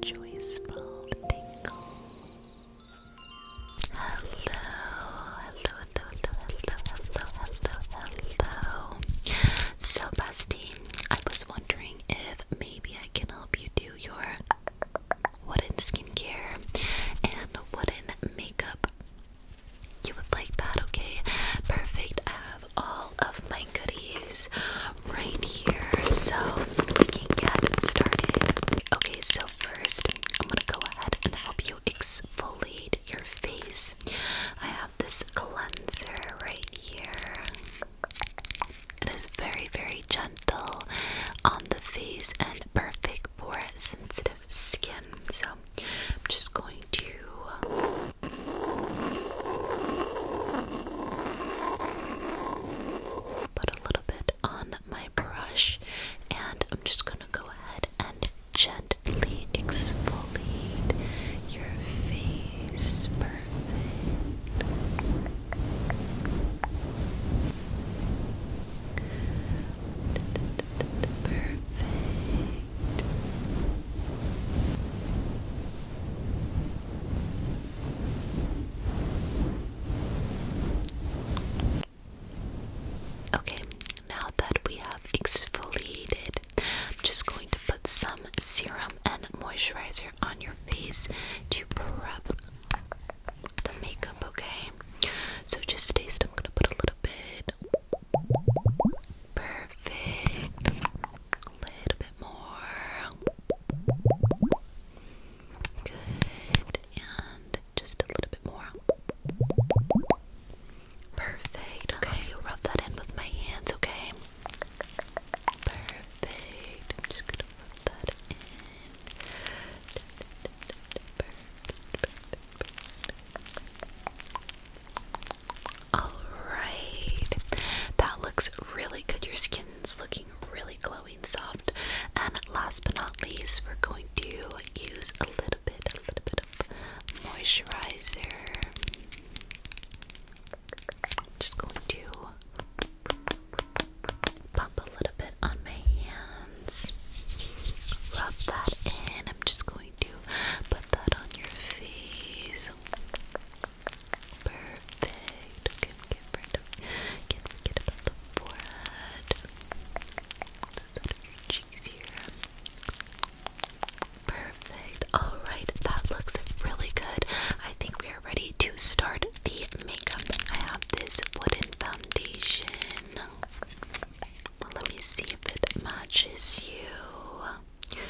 Joyful tingles. Hello, hello, hello, hello, hello, hello, hello, So, bestie, I was wondering if maybe I can help you do your wooden skincare and wooden makeup. You would like that, okay? Perfect. I have all of my goodies right here. So we can get started. Okay, so first I'm gonna go ahead and help you exfoliate your face. I have this cleanser right here. It is very, very gentle on the face and perfect for sensitive skin. So I'm just going to Put a little bit on my brush, and I'm just gonna go ahead and gently exfoliate your face. Perfect. Perfect. Okay, now that we have exfoliated, I'm just going to put some serum and moisturizer on your face to prep the makeup, okay? So just taste, I'm gonna put a little bit. Perfect. A little bit more. Good. And just a little bit more. Perfect. Okay, you rub that in with my hands, okay? Perfect. just gonna rub that in. Alright. That looks really good. Your skin looking really glowing soft. And last but not least, we're going to use a little bit, a little bit of moisturizer. just going to pump a little bit on my hands. Rub that in. I'm just going to put that on your face. Perfect. Okay, get rid of can't forget about the forehead. That's out of your cheeks here. Perfect. Alright, that looks really good. I think we are ready to start the makeup. I have this wooden foundation. Well, let me see if it matches you.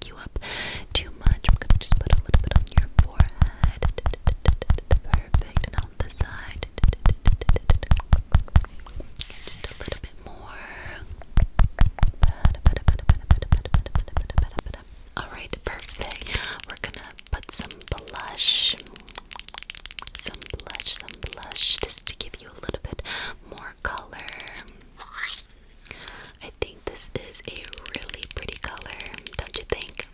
too much. I'm gonna just put a little bit on your forehead. Perfect. And on the side. Just a little bit more. Alright, perfect. We're gonna put some blush. Some blush, some blush, just to give you a little bit more color. I think this is a really pretty color, don't you think?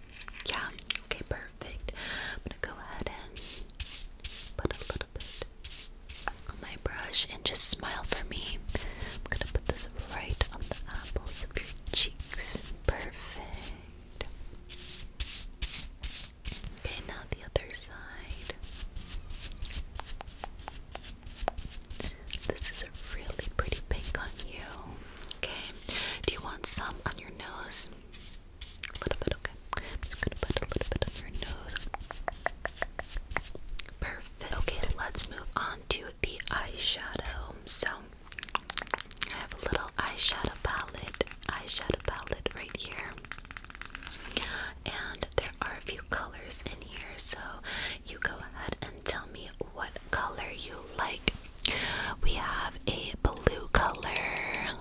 Yeah, okay, perfect. I'm gonna go ahead and put a little bit on my brush and just smile for me. I'm gonna put this right on the apples of your cheeks. Perfect. Okay, now the other side. This is a really pretty pink on you. Okay. Do you want some on your nose? A little bit, okay. I'm just gonna put a little bit on your nose. Perfect. Okay, let's move on to the eyeshadow. So I have a little eyeshadow palette, eyeshadow palette right here. And there are a few colors in here, so you go ahead and tell me what color you like. We have a blue color,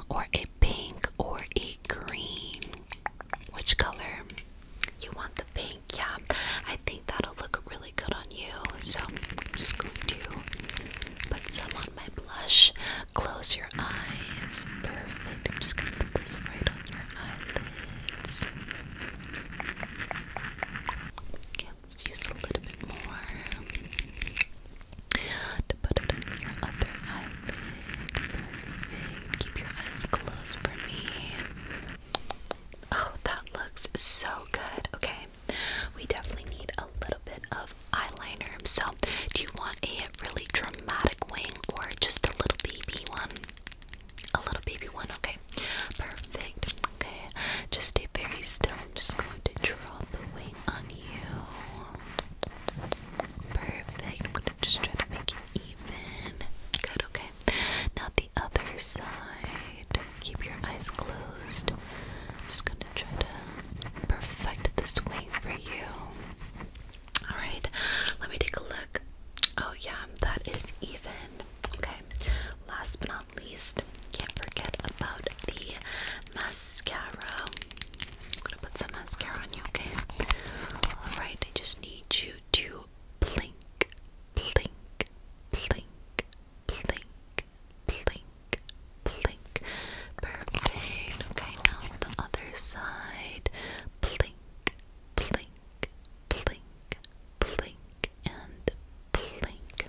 or a pink, or a green. Which color? You want the pink? Yeah, I think that'll look really good on you. So I'm just going to put some on my blush. Close your eyes. Perfect. I'm just going to put this right on your eyelids let's use a little bit more to put it on your other eyelid. Keep your eyes closed for me. Oh, that looks so good. Okay, we definitely need a little bit of eyeliner. So, do you want a really dramatic wing or just a little baby one? A little baby one, okay. Perfect. Okay. Just stay very still. I'm just going to draw the wing on you. Perfect. I'm gonna just try to make it even. Good, okay. Now the other side. Keep your eyes closed. I'm just gonna try to perfect this wing for you. Alright, let me take a look. Oh yeah, that is even. Okay. Last but not least, can't forget about the mascara. I'm gonna put some mascara on you, okay? Alright, I just need you to blink, blink, blink, blink, blink, blink. Perfect. Okay, now the other side. Blink, blink, blink, blink, and Perfect.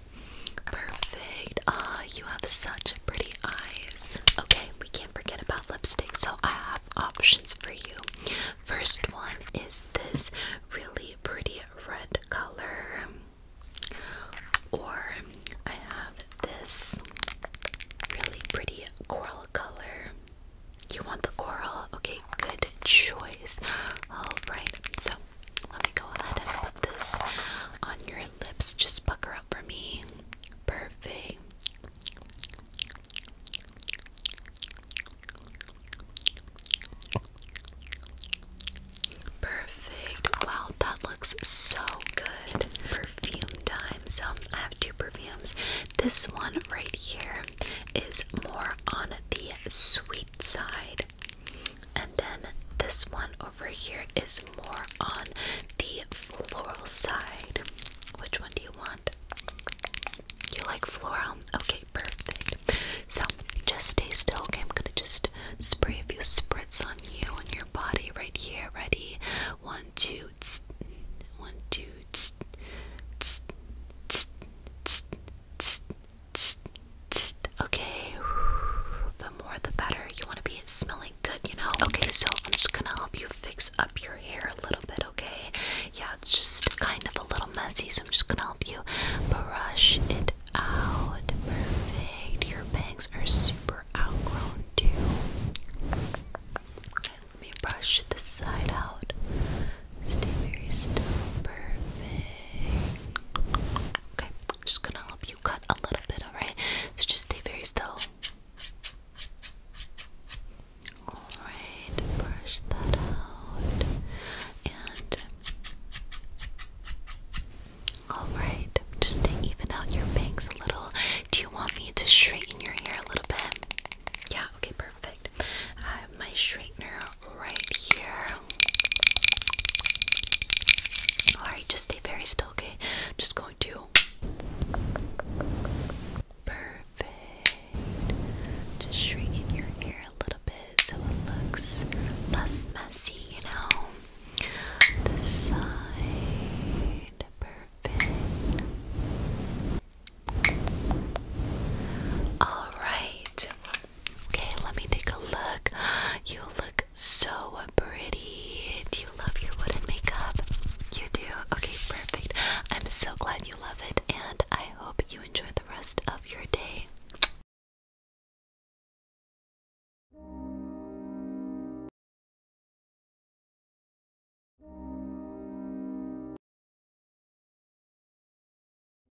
Ah, you have such pretty eyes. Okay, we can't forget about lipstick, so I have options for you. First one is this really pretty red color, or I have this really pretty coral color. You want the coral? Okay, good choice. Alright, so let me go ahead and put this on your lips. Just pucker up for me. Perfect. Perfect. Wow, that looks so good. Perfume time. So I have two perfumes. This one right here is more on the sweet side. And then this one over here is more on the floral side. Which one do you want? You like floral? Okay, perfect. So just stay still, okay? I'm gonna just spray a few spritz on you and your body right here. Ready? One, okay the more the better you want to be smelling good you know okay so i'm just gonna help you fix up your hair a little bit okay yeah it's just kind of a little messy so i'm just gonna help you brush it out perfect your bangs are super outgrown too okay, let me brush this side out Stay very still. Perfect. Okay, I'm just gonna help you cut a little bit, alright? So just stay very still. Alright, brush that out. And. Alright, just to even out your bangs a little. Do you want me to straighten your hair a little bit? Yeah, okay, perfect. I have my straightener right here. Alright, just stay very still, okay? I'm just going to. Perfect. Just shrink in your ear a little bit so it looks less messy, you know? This side. Perfect. Alright. Okay, let me take a look. You look so pretty. Do you love your wooden makeup? You do? Okay, perfect. I'm so glad you love it, and I hope you enjoy the rest of your day.